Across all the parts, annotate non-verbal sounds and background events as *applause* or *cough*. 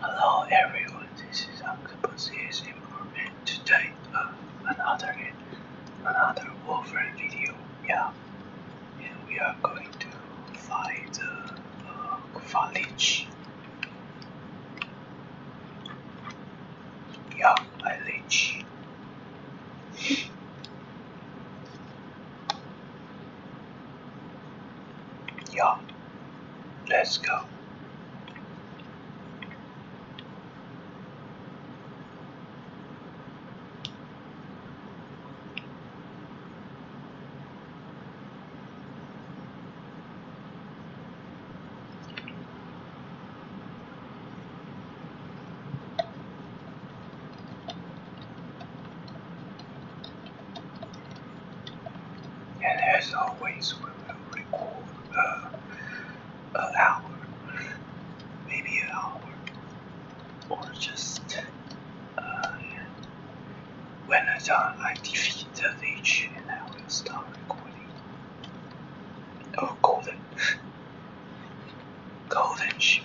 Hello everyone, this is Octopus. It's improvement today another another Wolverine video. Yeah, and we are going to find the village. Yeah, village. Yeah, let's go. And as always, we will record uh, an hour, maybe an hour, or just uh, when I, done, I defeat the leech and I will start recording. Oh, golden. golden sheep.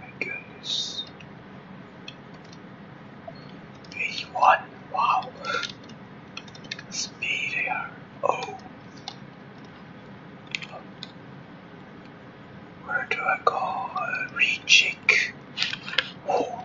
My goodness. 81. Wow. Speed Oh. Where do I go? Uh, Oh.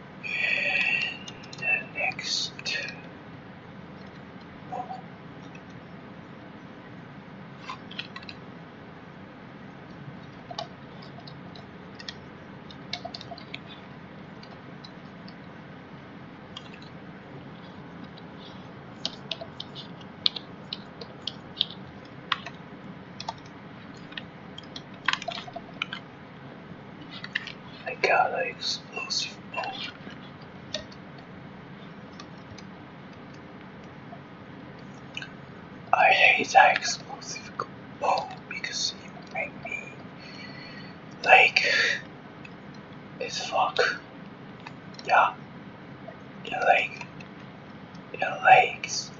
the next I got an explosive bolt. I hate that explosive bolt because it make me like it's fuck. Yeah. Your leg. Your legs.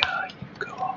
God, you go.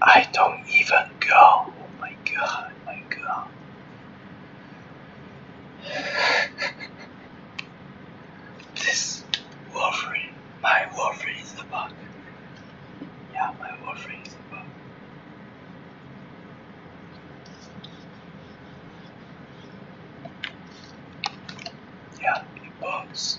I don't even go. Oh my god, oh my god. this Wolverine, my Wolverine is the bug. Yeah, my Wolverine is the bug. Yeah, it bugs.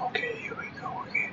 Okay, here we go again.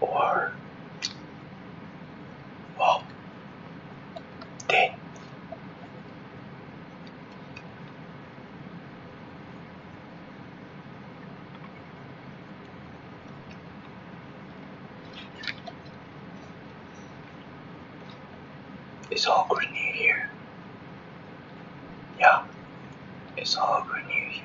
or wow ten it's all green here yeah, it's all good new here.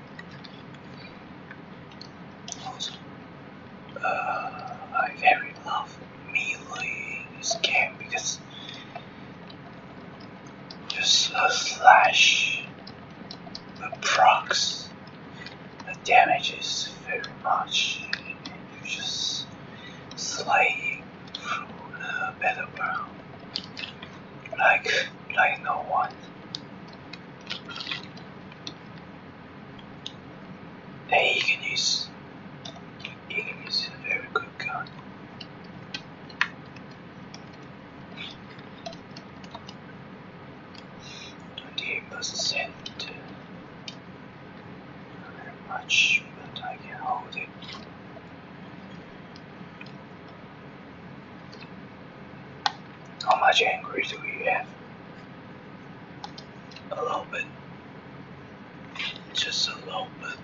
Also, uh, I very love melee this game because just a slash, a procs, the damage is very much, and you just slay through the battleground like like no one. Hey, you can a very good gun. And he not much, but I can hold it. How much angry do we have? A little bit. Just a little bit.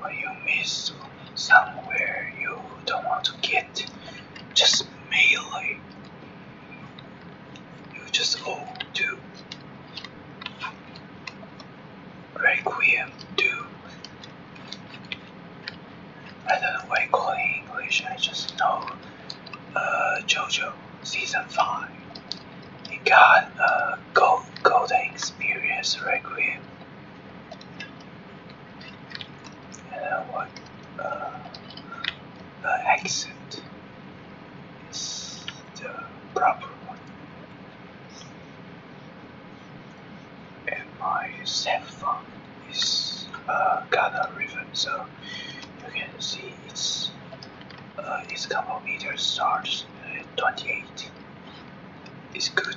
What you miss? somewhere you don't want to get just merely you just owe to Requiem to I don't know what I call it English, I just know uh JoJo season five. He got a gold golden experience Requiem uh, what uh, accent is the proper one and my cell is uh, Ghana ribbon so you can see it's uh, its kilometer meters at 28 it's good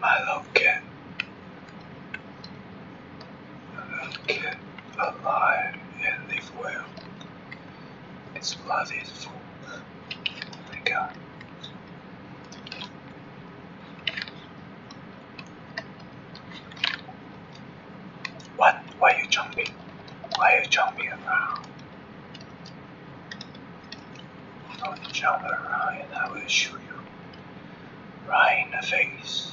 I love cat. I love cat alive and live well. Its bloody is full. Thank God. What? Why are you jumping? Why you jumping around? Don't jump around and I will shoot you right in the face.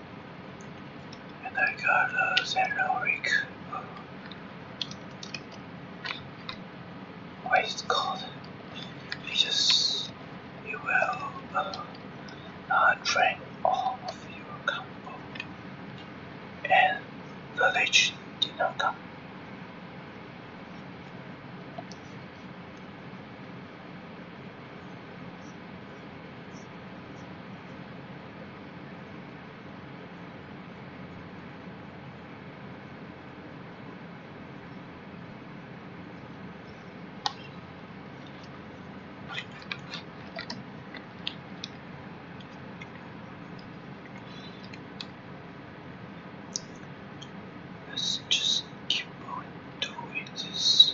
And I got a uh, Zeno Rick. Um, what is it called? will uh, all of your combo. And the legend did not come. Let's just keep on doing this.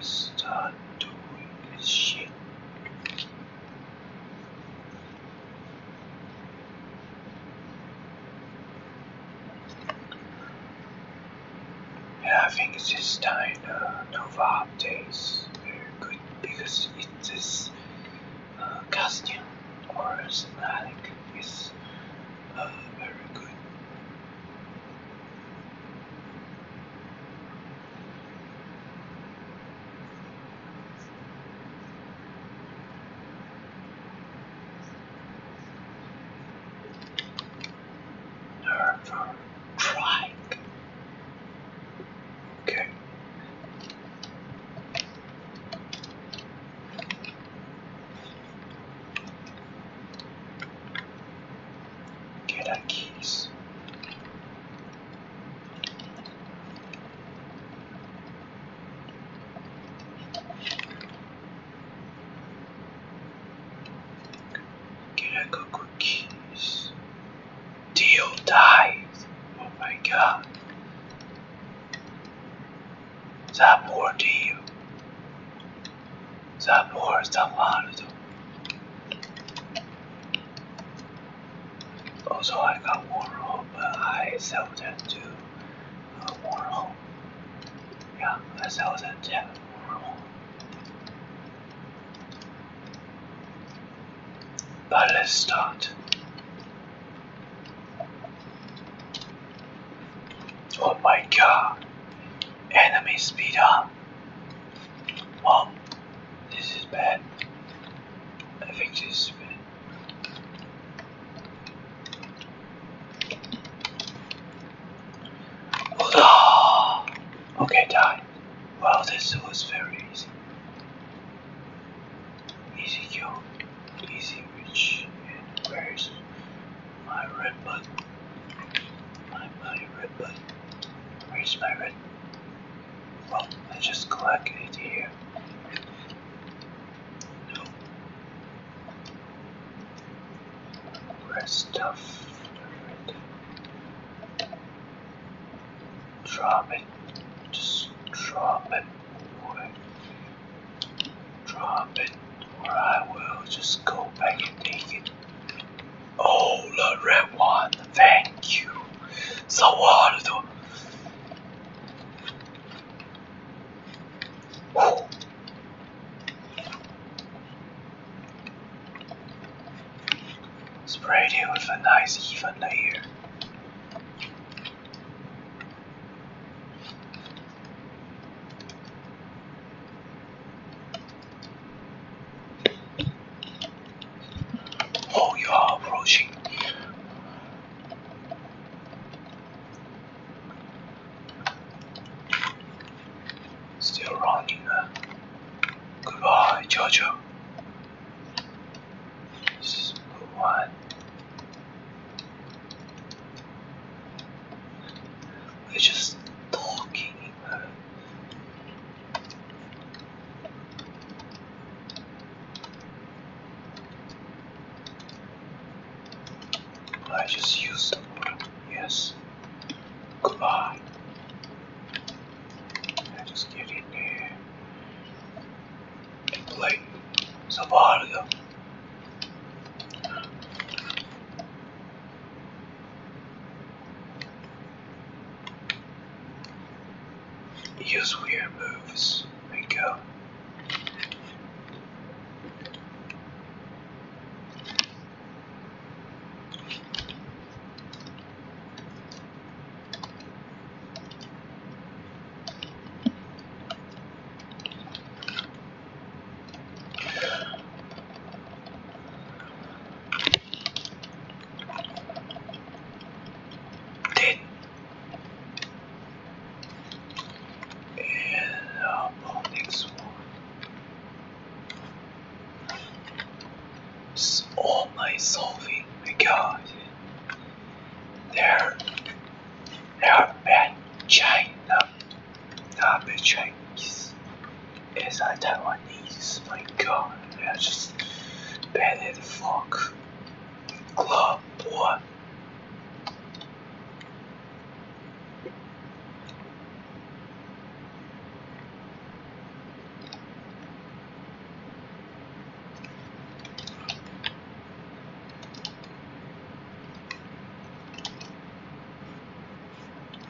start doing this shit. And I think this time the Nova is very good because it is uh, costume or thematic is uh, very good. Never tried. Okay. Get our keys. Cracker cookies. Deal dies. Oh my god. The more deal, the more the world also, I got Warhol, but I sell that to uh, Warhol. Yeah, I sell that to a Warhol. But let's start. Oh my god. Enemy speed up. Mom, this is bad. I think this is bad. Okay, die. Wow, this was very easy. Easy kill, easy reach, and where's my red button? My, my red button. Where's my red? Well, I just collect it here. No. Red stuff. Red. Drop it. Just drop it. Boy. Drop it, or I will just go back and take it. Oh, the red one. Thank you. So what do? Oh. Sprayed it with a nice even layer. Oh, you are approaching. Still running. Goodbye, Jojo. This is are just talking I just used the water. Yes. Goodbye. I just get in there play some audio. Use weird moves. we go. Dead. And up next one. all my solving, my god. There, there are bad China, not bad Chinese is I tell my knees, my god, I just barely the fuck club boy.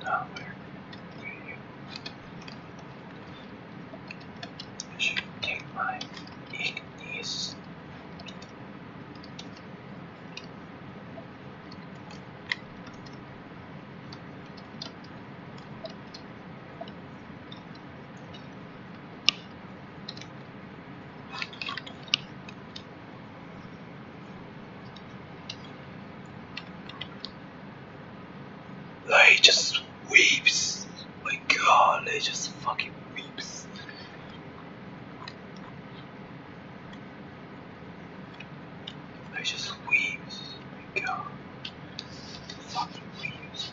Dollar value. I should take my Ignis. Like just weeps. My god, it just fucking weeps. I just weeps. My god. Fucking weeps.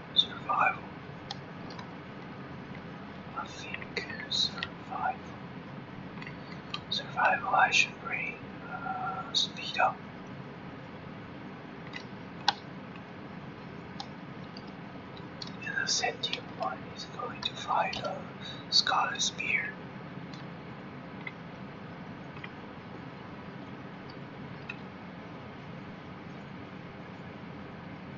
Survival. I think survival. Survival, I should bring uh, speed up. And the sentient one is going to fight a scarlet spear.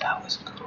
that was cool.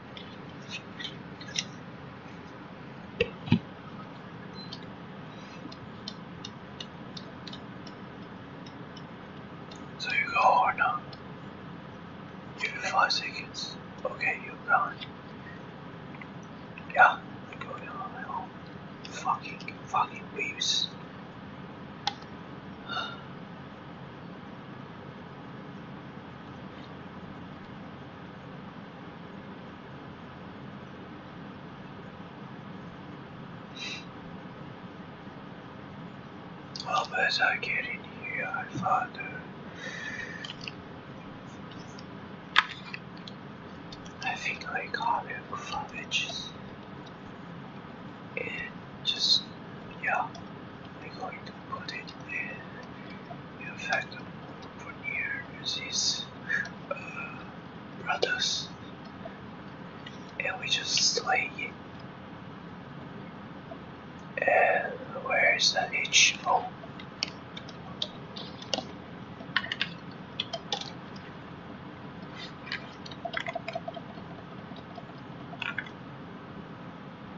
So you go or not? Give you five seconds. Okay, you're gone. Yeah, I'm going on Fucking, fucking waves. Well, as I get in here, I find I think like having cabbages and just yeah, I'm going to put it in in fact, for Fournier these brothers, and we just slay it. And where is the H?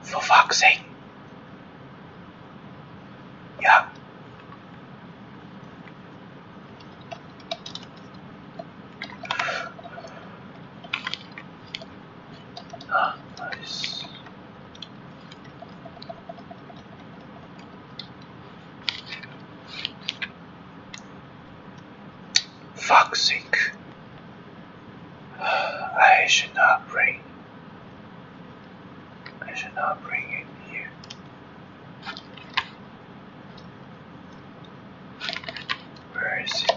For fuck's yeah. nice. Fuck's sake. *sighs* I should not bring I should not bring it here. Where is it?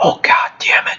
Oh god damn it!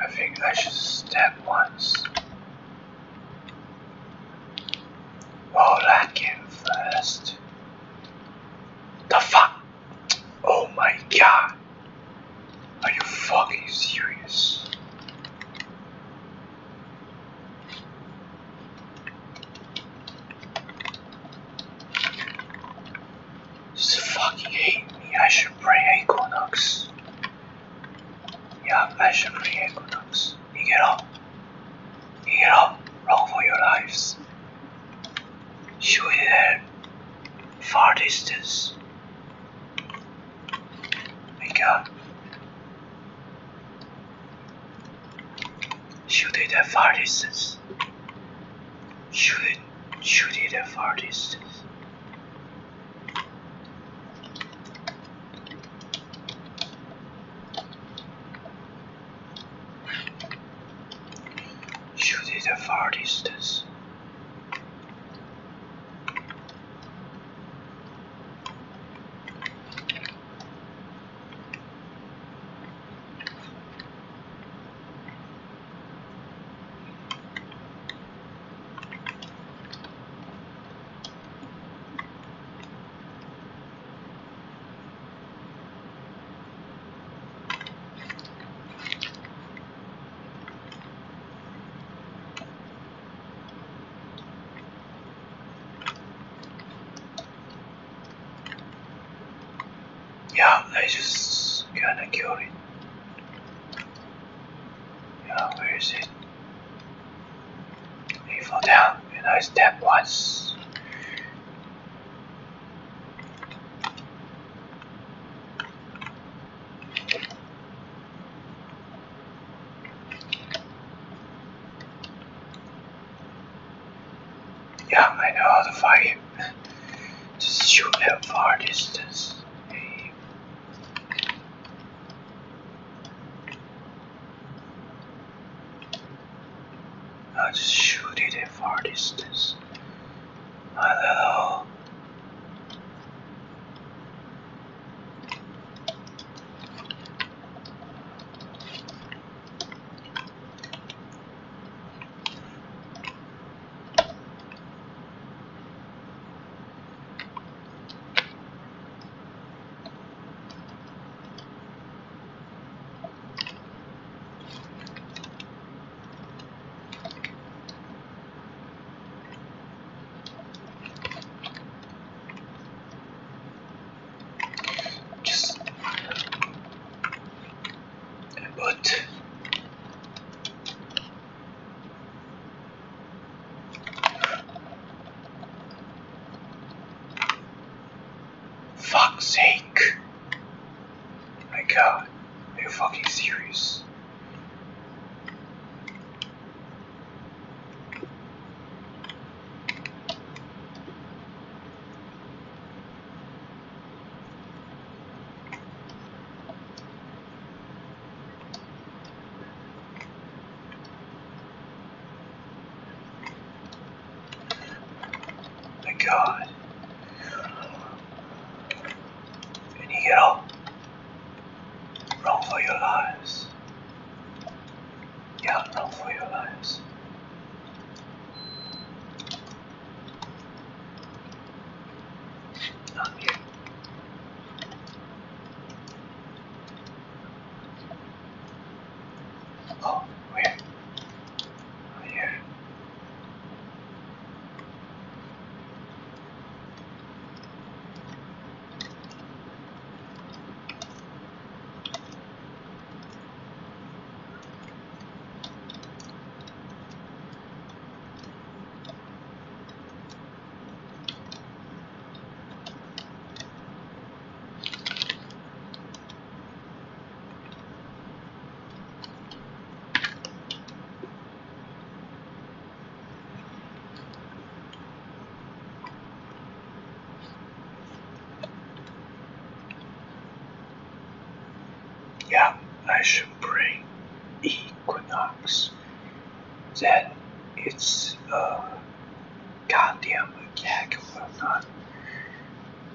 I think I should step once. Well, that came first. The fuck? Oh my god. Are you fucking serious? Just fucking hate me. I should bring Equinox. Yeah, I should bring Equinox. You get up. Get up, run for your lives. Shoot it at far distance. My god. Shoot it at far distance. Shoot it, shoot it at far distance. Shoot it a far distance. Yeah, I just gonna kill it. Yeah, where is it? He fell down and I stabbed once. Yeah, I know how to fire. Just shoot at far distance. I just shoot it at far distance. I just fire and put Fuck's sake. My god, are you fucking serious? My God. And you get all wrong for your lives. Yeah, wrong for your lives. Not here. Oh, where? Oh, here. Yeah, I should bring Equinox. Then it's a uh, goddamn attack will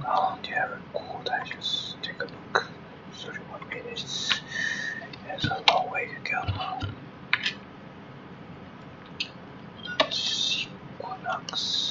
Now oh, they have just take a look such a one minute is, a long way to go. Equinox.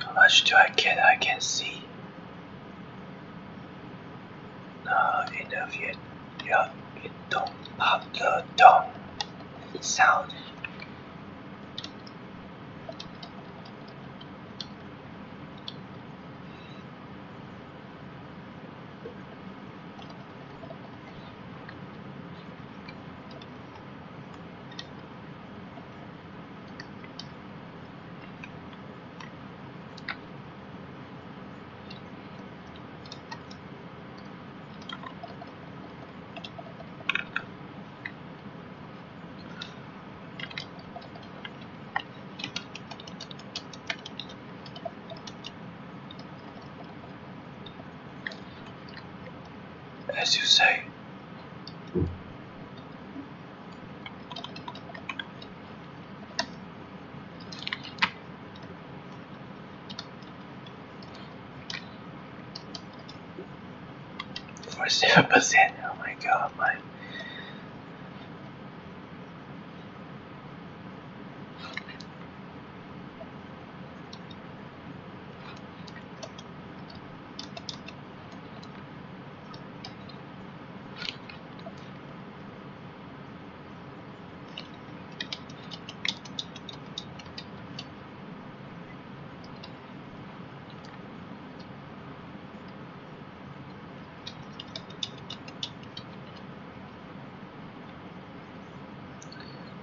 How much do I get? I can see. Uh, enough Yeah, it don't pop the dong sound. As you say, Forty-seven percent. Oh my god, my.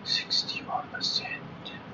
Sixty-one percent.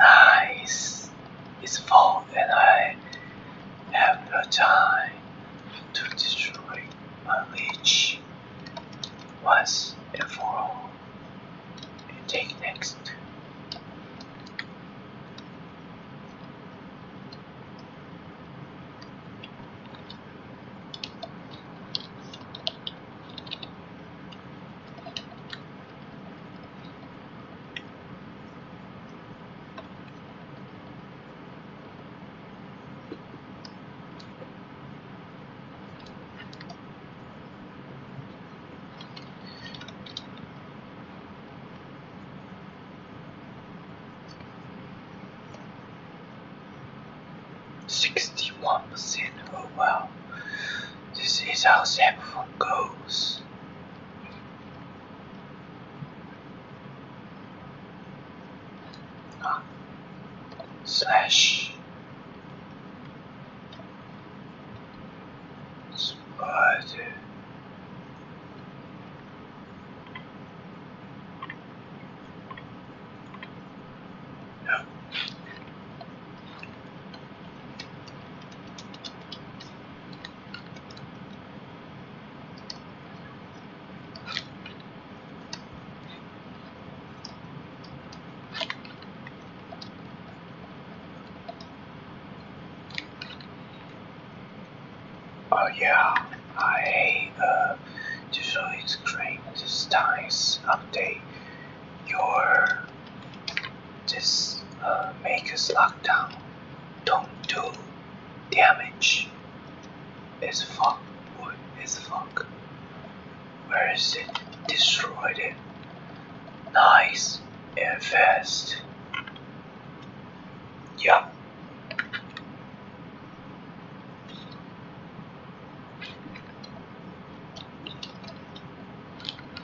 Uh, it's, fall and I have no time to destroy my leech once for take next. 61 percent oh wow this is how saxophone goes. Uh, ah. slash. Spider. Oh yeah, I uh, usually screen this times update your this uh, makes lockdown don't do damage. It's fuck. What is fuck? Where is it? Destroyed it. Nice and fast. Yeah.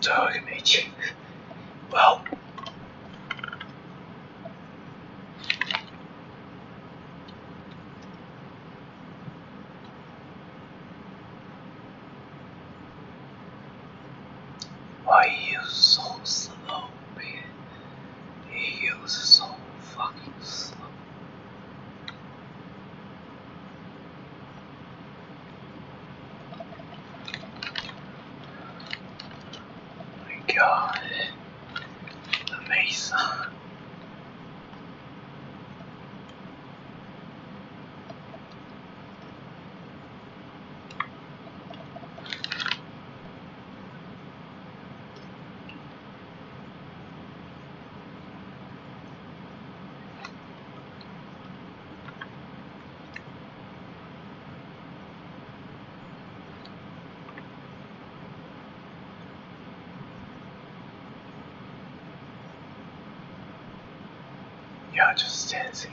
Dog meat. Well. Why you so slow, man? so fucking slow. Oh my god. The face. You're just dancing.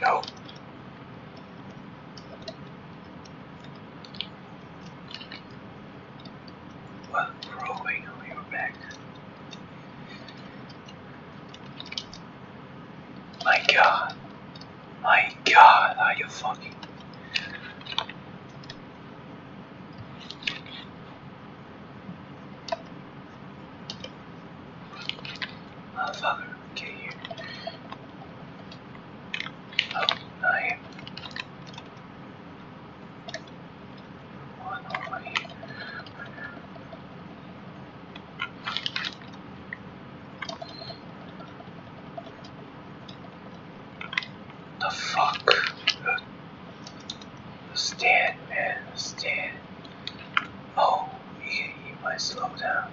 No. Well, growing on your back. My god. My god, are you fucking... Motherfucker, get here. Oh, not here. One over here. The fuck? Stand, man, stand. Oh, he, might slow down.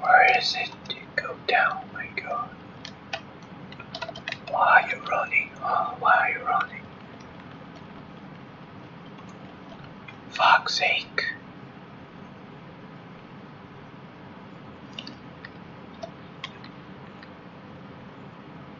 Where is it go down? My God. Why are you running? Oh, why are you running? Fuck's sake.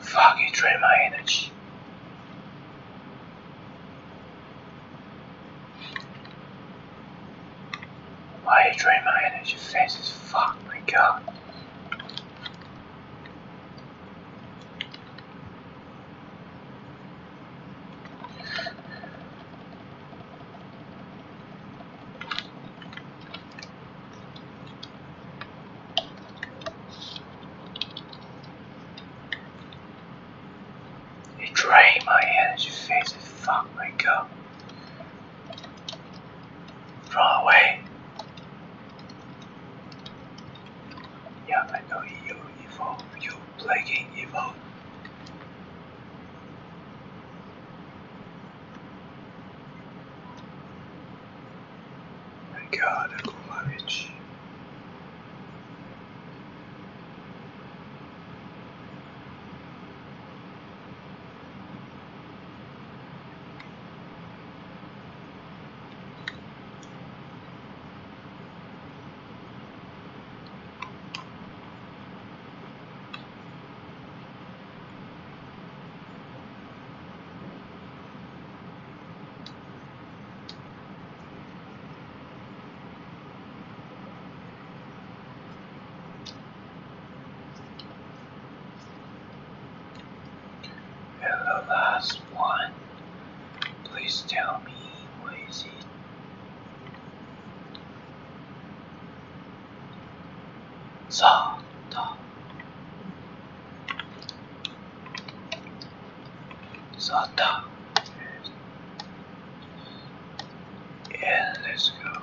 Fuck! Fucking drain my energy. Why you drain my energy? Face is fuck my god. It drain my energy face and Fuck my cup. Run away. Yeah, I know you evil. You plaguing evil. God, I love it. And the last one, please tell me what is it? Santa. Zata. Yeah, let's go.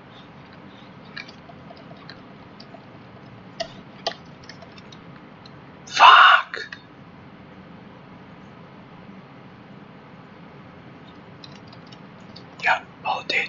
Fuck! Yeah, both did.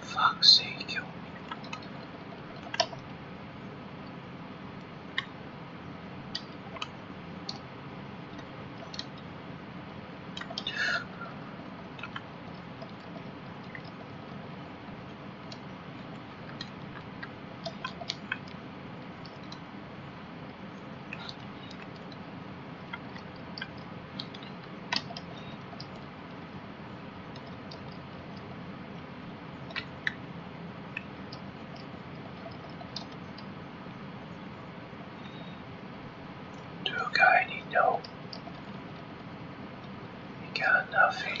Fuck's sake. Do a need no? got nothing.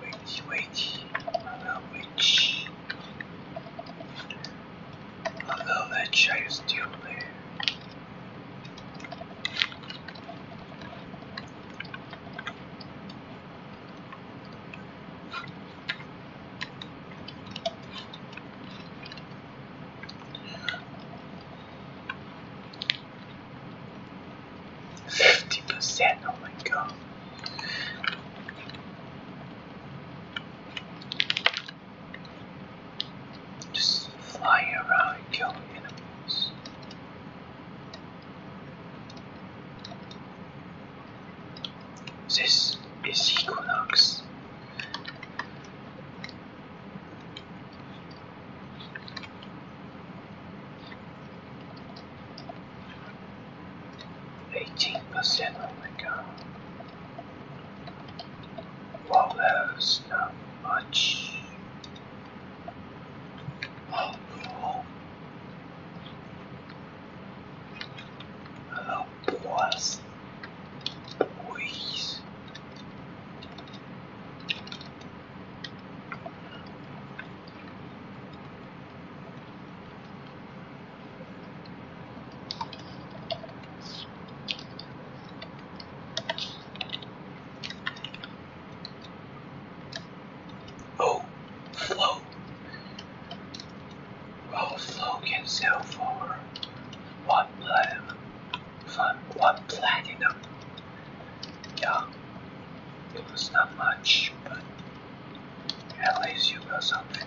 Witch, witch, hello witch. Hello witch, are you still there? 50%, oh my god. Just flying around and killing animals. This is Equinox. Eighteen percent. Oh my god. Well, that's not much. Oh no. boys. Oh, Flo. Well, oh, Flo can sell for one platinum. Fun, one platinum. Yeah, it was not much, but. At least you got something.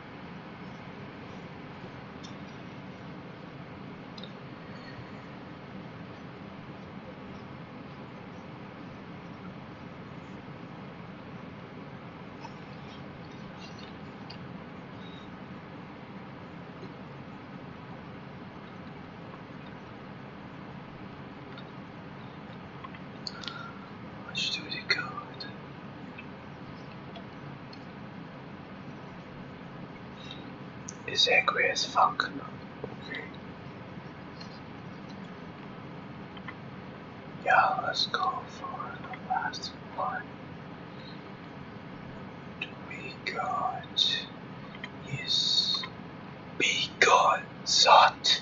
Let's do the code. Is angry as fuck. Yeah, let's go for the last one. We got is be gone, Zot.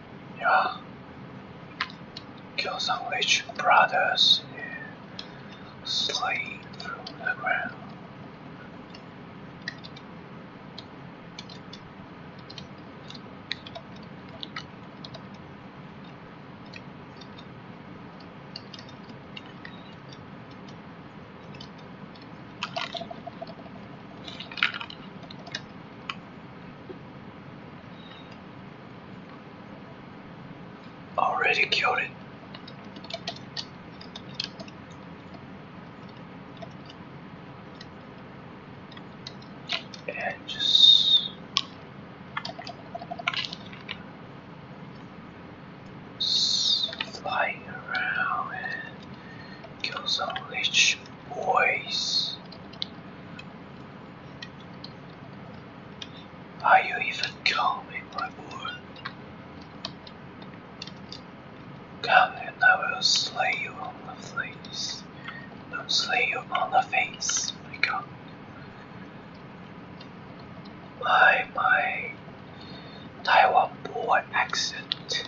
yeah. Kill some witch brothers yeah. through the ground. Already killed it. just flying around and kill some leech. Boys, Are you even coming, my boy? Come and I will slay you on the face. Don't slay you on the face, my god. My, my Taiwan boy accent.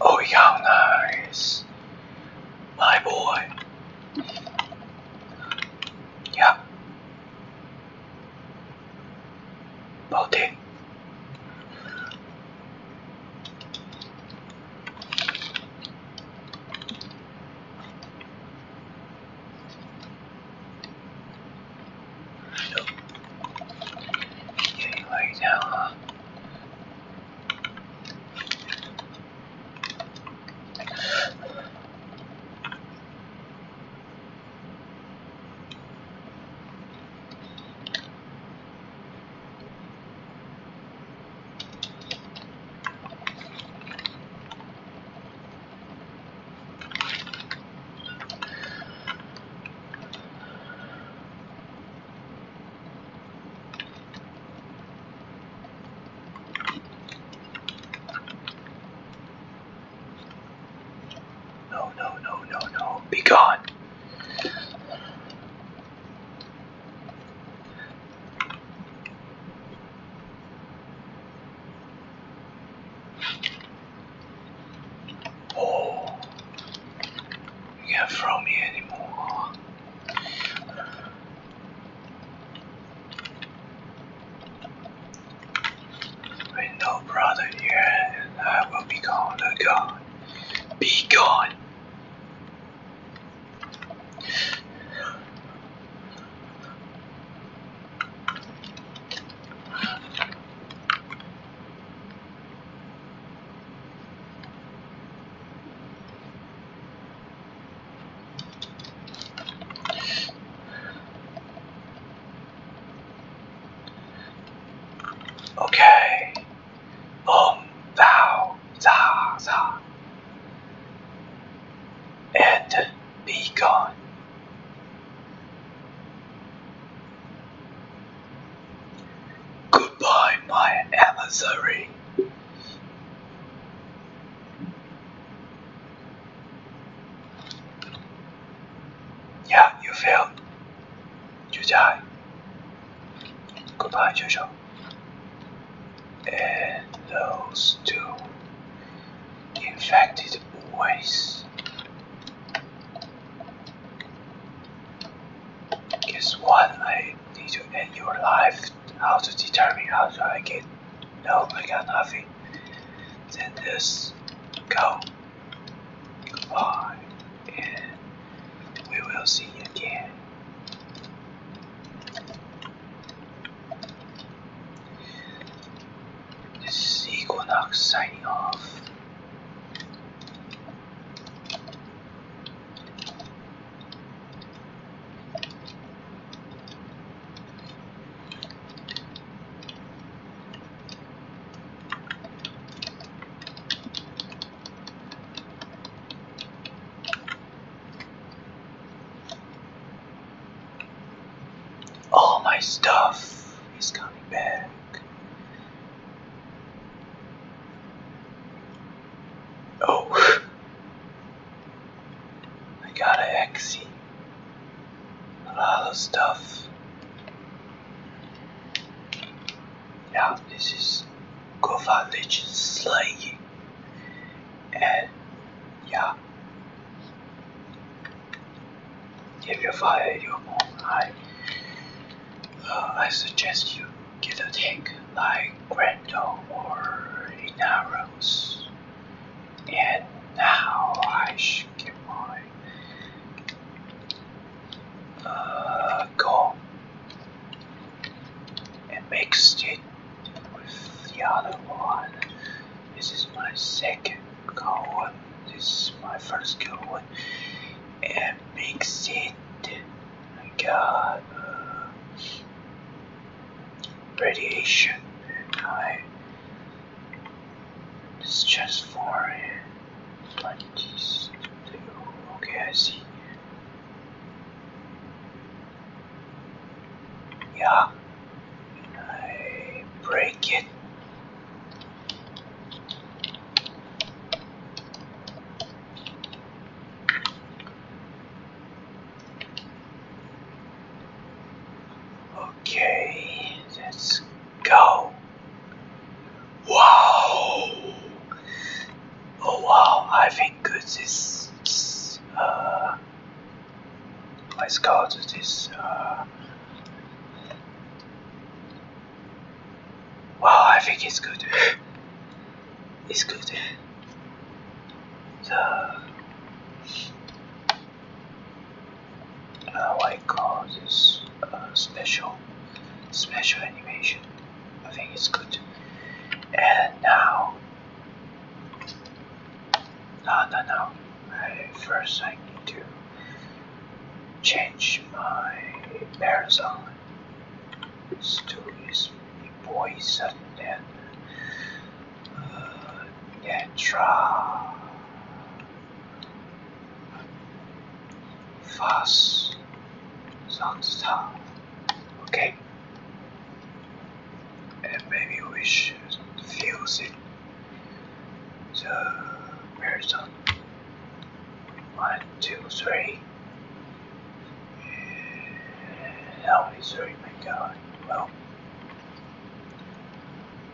Oh, young nice. My boy. Yeah. Body. So, yeah, you lay down, huh? No, no, no, no, no. Be gone. Oh, you can't throw me anymore. With no brother here, I will be gone, oh god. Be gone! Okay. Um, thou, za, And be gone. Goodbye, my adversary. Yeah, you failed. You die. Goodbye, Jojo. And those two infected boys. Guess what? I need to end your life. How to determine how do I get? No, I got nothing. Then this go. Goodbye, and we will see again. This is Equinox signing off. All my stuff is coming back. Oh. I gotta exit a lot of stuff. Yeah, this is Kofa Legend Slay. And yeah. If you fire your own eye, uh, I suggest you get a tank like Grendel or Inaros. And now I should get uh, and mixed it with the other one. This is my second going. This is my first going. And mix it. I got uh, radiation. And I just for it like Okay, I see. Yeah, I break it. Okay, let's go. Wow! Oh wow, I think this uh, let's go this, uh, Wow, I think it's good. it's good. The how I special special animation. I think it's good. And now, no, no, no. first, I need change my parasol to his poison and get uh, Netra fast sounds tough okay and maybe we should fuse it the parasol one, two, three. How three? My God. Well,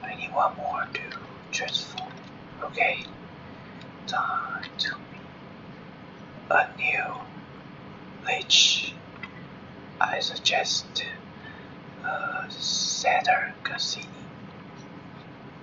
I need one more to transform. Okay. Time to a new lich. I suggest uh, Saturn Cassini.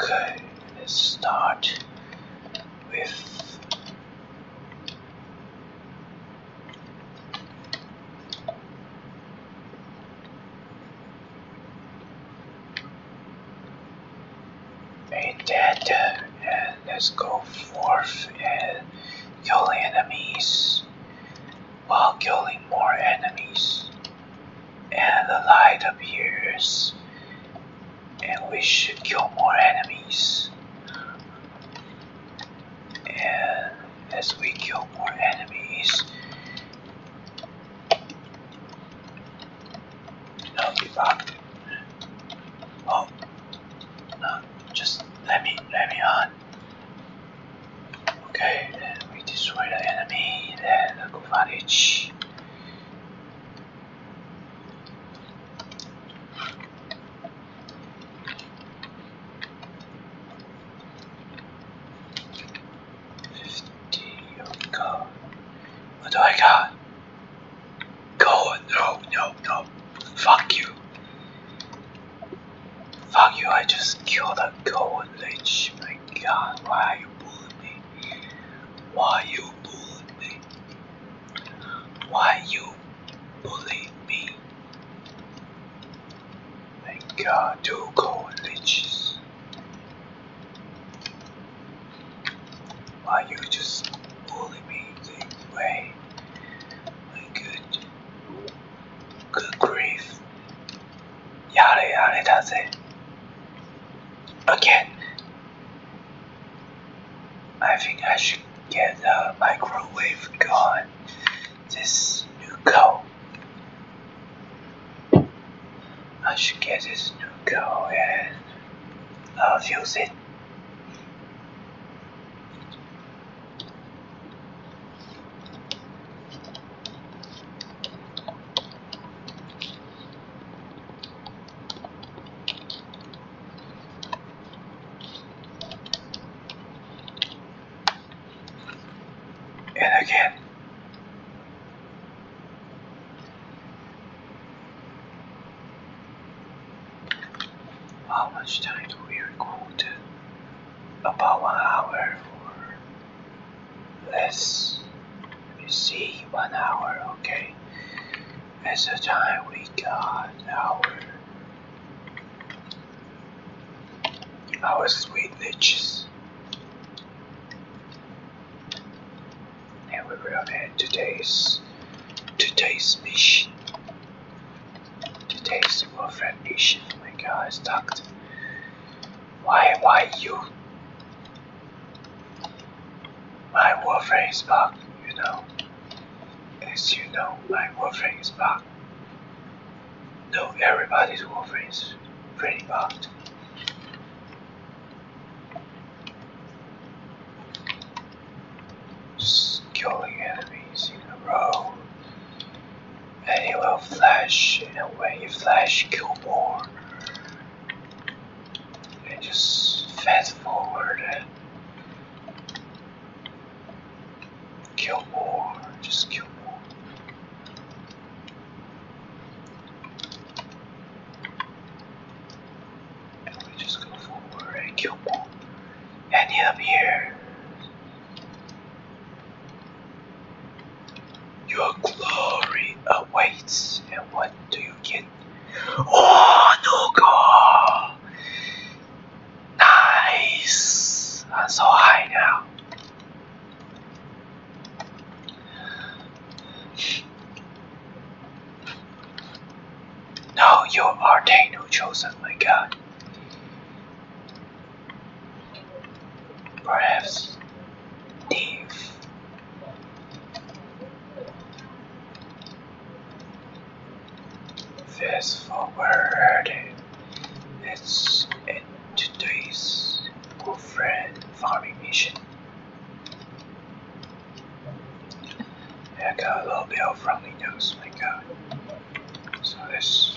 Okay, let's start with Made that, and let's go forth and kill enemies while killing more enemies and the light appears and we should kill more enemies and as we kill more enemies no give oh no just let me let me on okay then we destroy the enemy then the cottage Fifty oh god. What do I got? Go no no no fuck you Fuck you I just killed a golden leech my god why are you bullying me why you bullied Why you bullied me? Thank God, two gold leeches. Why you just bully me this way? My good, good grief. Yada yada does it. Again, I think I should get the microwave going. This new coat. I should get this new coat and I'll use it. And again. How much time do we record? About one hour let us see one hour okay that's the time we got our our sweet niches and we will end today's today's mission today's warfare mission oh my god I why, why you? My Warframe is back, you know. As you know, my Warframe is back. No, everybody's Warframe is pretty bugged. Just killing enemies in a row. And it will flash, and when you flash, kill more and just fast forward and kill more, just kill more. And we just go forward and kill more. And up here. Your glory awaits, and what do you get? Oh, no goal! Nice! I'm so high now. No, you are Daniel chosen, my god. Perhaps Thief Fast forward. Let's end today's good friend farming mission. I got a little bit of friendly nose, my god. So let's.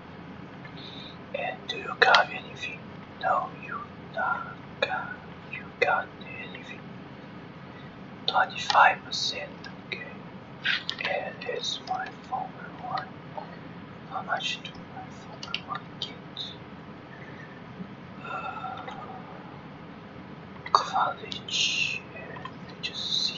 And do you got anything? No, you do not got, you got anything? 25%, okay. And it's my former one. How much do my former one get? Uh, college, just see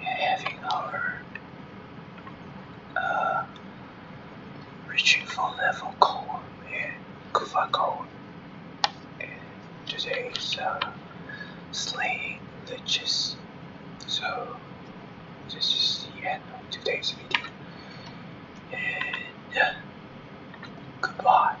having our uh, reaching for level core and Kufa core. And today uh, slaying liches. So this is the end of today's video. And uh, goodbye.